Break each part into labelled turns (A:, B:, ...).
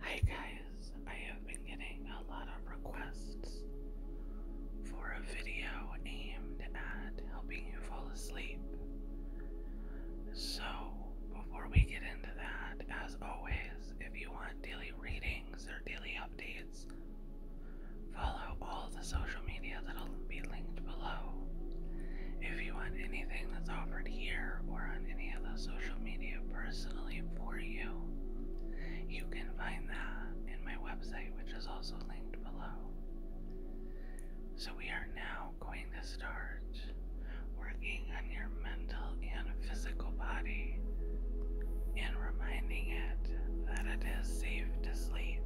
A: Hi guys, I have been getting a lot of requests for a video aimed at helping you fall asleep. So, before we get into that, as always, if you want daily readings or daily updates, follow all the social media that'll be linked below. If you want anything that's offered here or on any of the social media personally for you, you can find that in my website, which is also linked below. So, we are now going to start working on your mental and physical body and reminding it that it is safe to sleep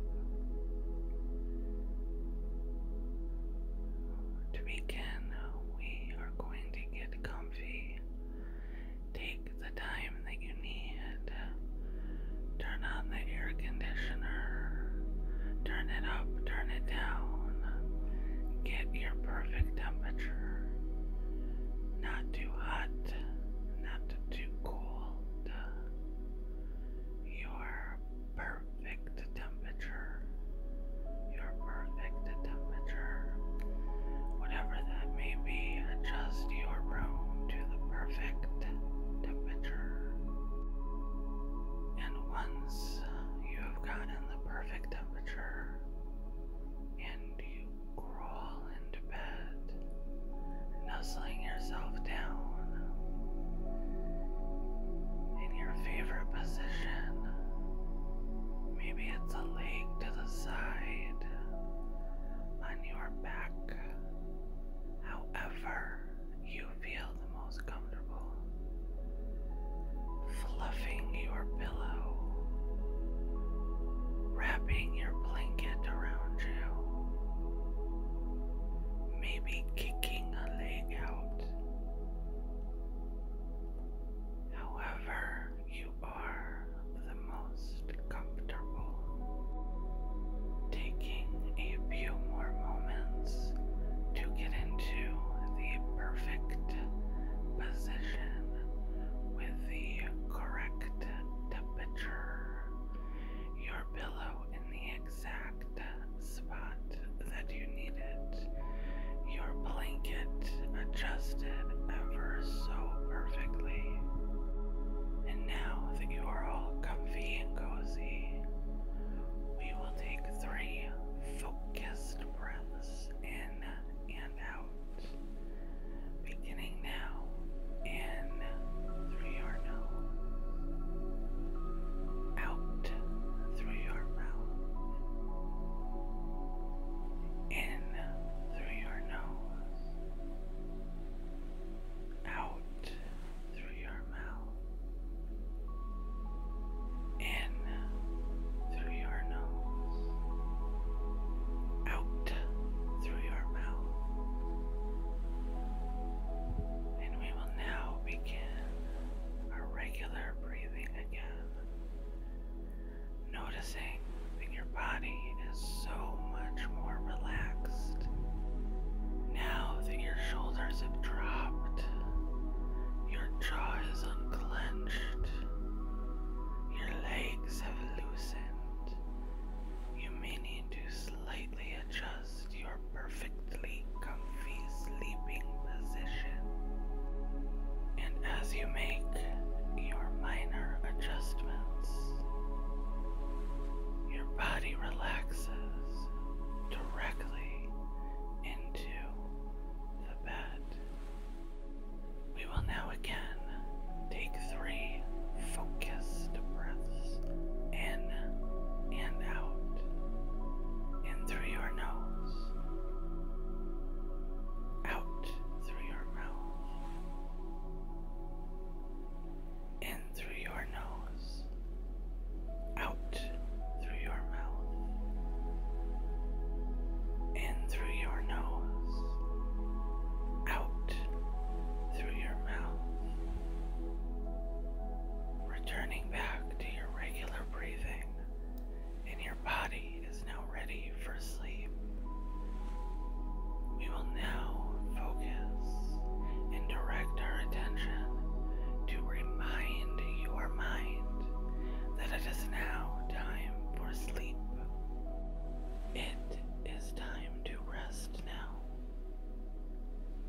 A: to begin, we are going to get comfy. Take the time that you need. Turn on the air conditioner. Turn it up, turn it down. Get your perfect temperature. Not too hot, not too cold. Your perfect perfect temperature. Your perfect temperature. Whatever that may be, adjust your room to the perfect temperature. And once you have gotten the perfect temperature, and you crawl into bed, nuzzling yourself down in your favorite position. Maybe it's a leg to the side on your back. However, you feel the most comfortable. Fluffing your pillow, wrapping your blanket around you, maybe kicking a leg out However, you are the most comfortable. Taking a few more moments to get into the perfect position with the correct temperature, your pillow in the exact exact spot that you needed. Your blanket adjusted ever so perfectly. And now that you are all comfy and cozy, we will take three focused breaths in and out. Beginning now in through your nose, out through your mouth, in through your nose, out through your mouth, in through your nose, out through your mouth. And we will now begin our regular breathing again. Noticing that your body is so much more relaxed. Now that your shoulders have dropped, your jaw is unclenched, your legs have loosened, you may need to slightly adjust adjust your perfectly comfy sleeping position. And as you make your minor adjustments, your body relaxes directly into the bed. We will now again take three focus breaths breaths, in and out, in through your nose, out through your mouth, in through your nose, out through your mouth, in through your nose, out through your mouth returning back to your regular breathing, and your body is now ready for sleep. We will now focus and direct our attention to remind your mind that it is now time for sleep. It is time to rest now.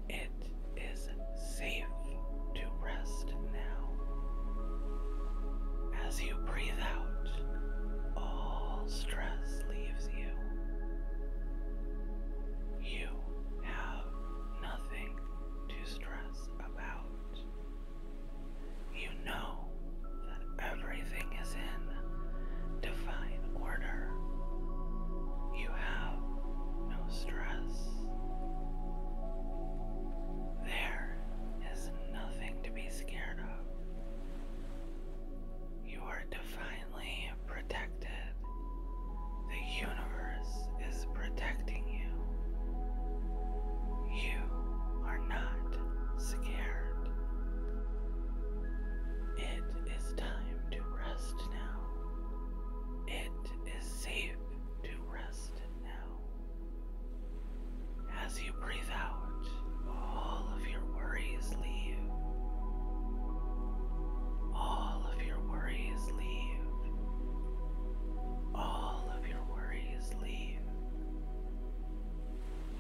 A: It is safe to rest now. As you breathe out, all stress leaves you. You have nothing to stress about. You know that everything is in divine order. You have no stress. There is nothing to be scared of. You are divinely protected. The universe is protecting you. You are not scared. It is time to rest now. It is safe to rest now. As you breathe out, all of your worries leave. All of your worries leave. All of your worries leave.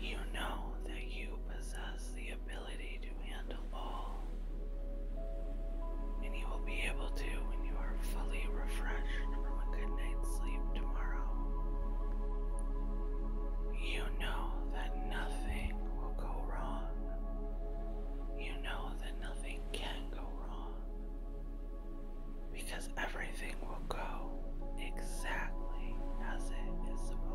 A: You know that you possess the ability to handle all, and you will be able to when you are fully refreshed from a good night's sleep tomorrow. You know that nothing will go wrong. You know that nothing can go wrong. Because everything will go exactly as it is supposed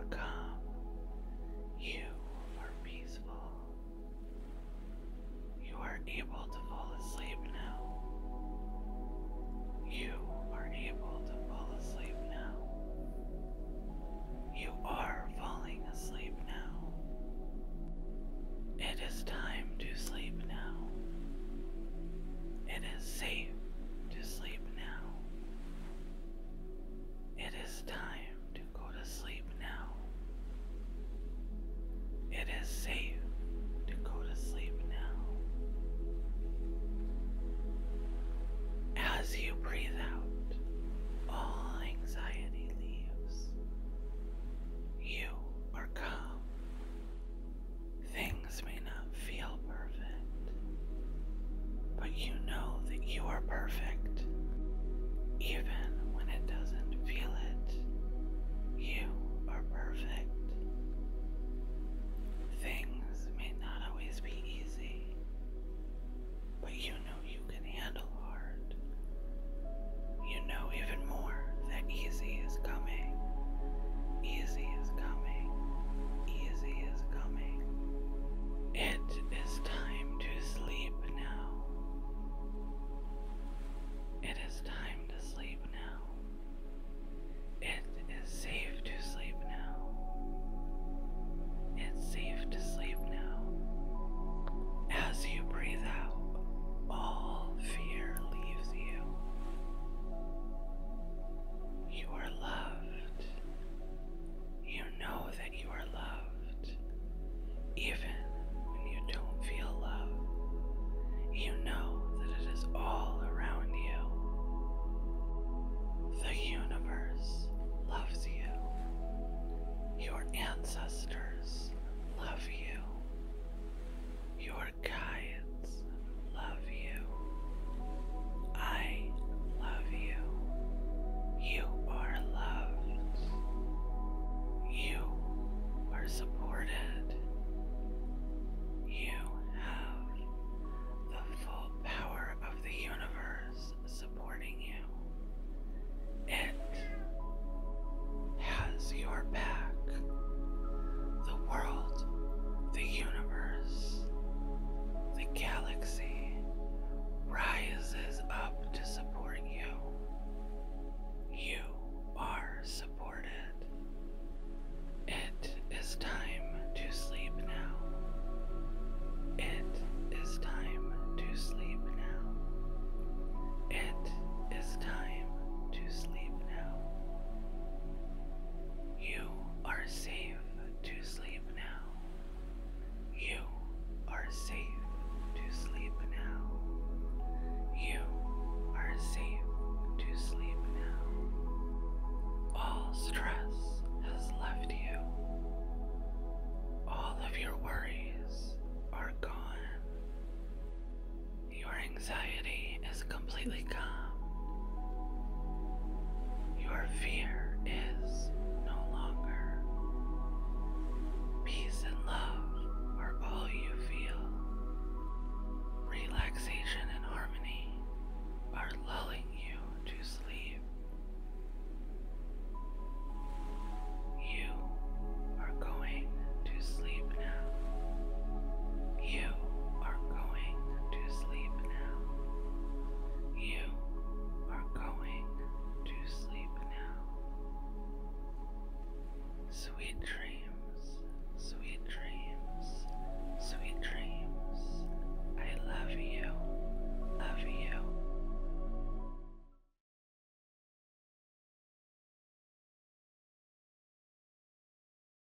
A: are calm, you are peaceful. You are able to fall asleep now. You are able to fall asleep now. You are falling asleep now. It is time to sleep now. It is safe to sleep now. It is time to go to sleep now. It is safe to go to sleep now. As you breathe out, all anxiety leaves. You are calm. Things may not feel perfect, but you know that you are perfect. Even when it doesn't feel it, you are perfect. Things may not always be easy, but you know you can handle hard. You know even more that easy is coming. Easy is coming. Easy is coming. It is time to sleep now. It is time to sleep now. It is safe to sleep now. It's safe to sleep now. As you breathe out, all fear leaves you. You are loved. You know that you are loved, even when you don't feel love. You know that it is all around you. The universe loves you. Your ancestors love you. Your guides words love you. I love you. You are loved. You are supported. You have the full power of the universe supporting you. It has your back. The world, the universe the galaxy rises up to support you. You are supported. It is time to sleep now. It is time to sleep now. It is time to sleep now. You are safe to sleep now. You are safe to sleep now. You are safe to sleep now. All stress has left you. All of your worries are gone. You are anxiety is completely gone. Your fear is no longer. Peace and love are all you feel. Relaxation and harmony are lulling you to sleep. You are going to sleep now. You are going to sleep now. You are going to sleep now. Sweet dreams, sweet dreams, sweet dreams. I love you, love you.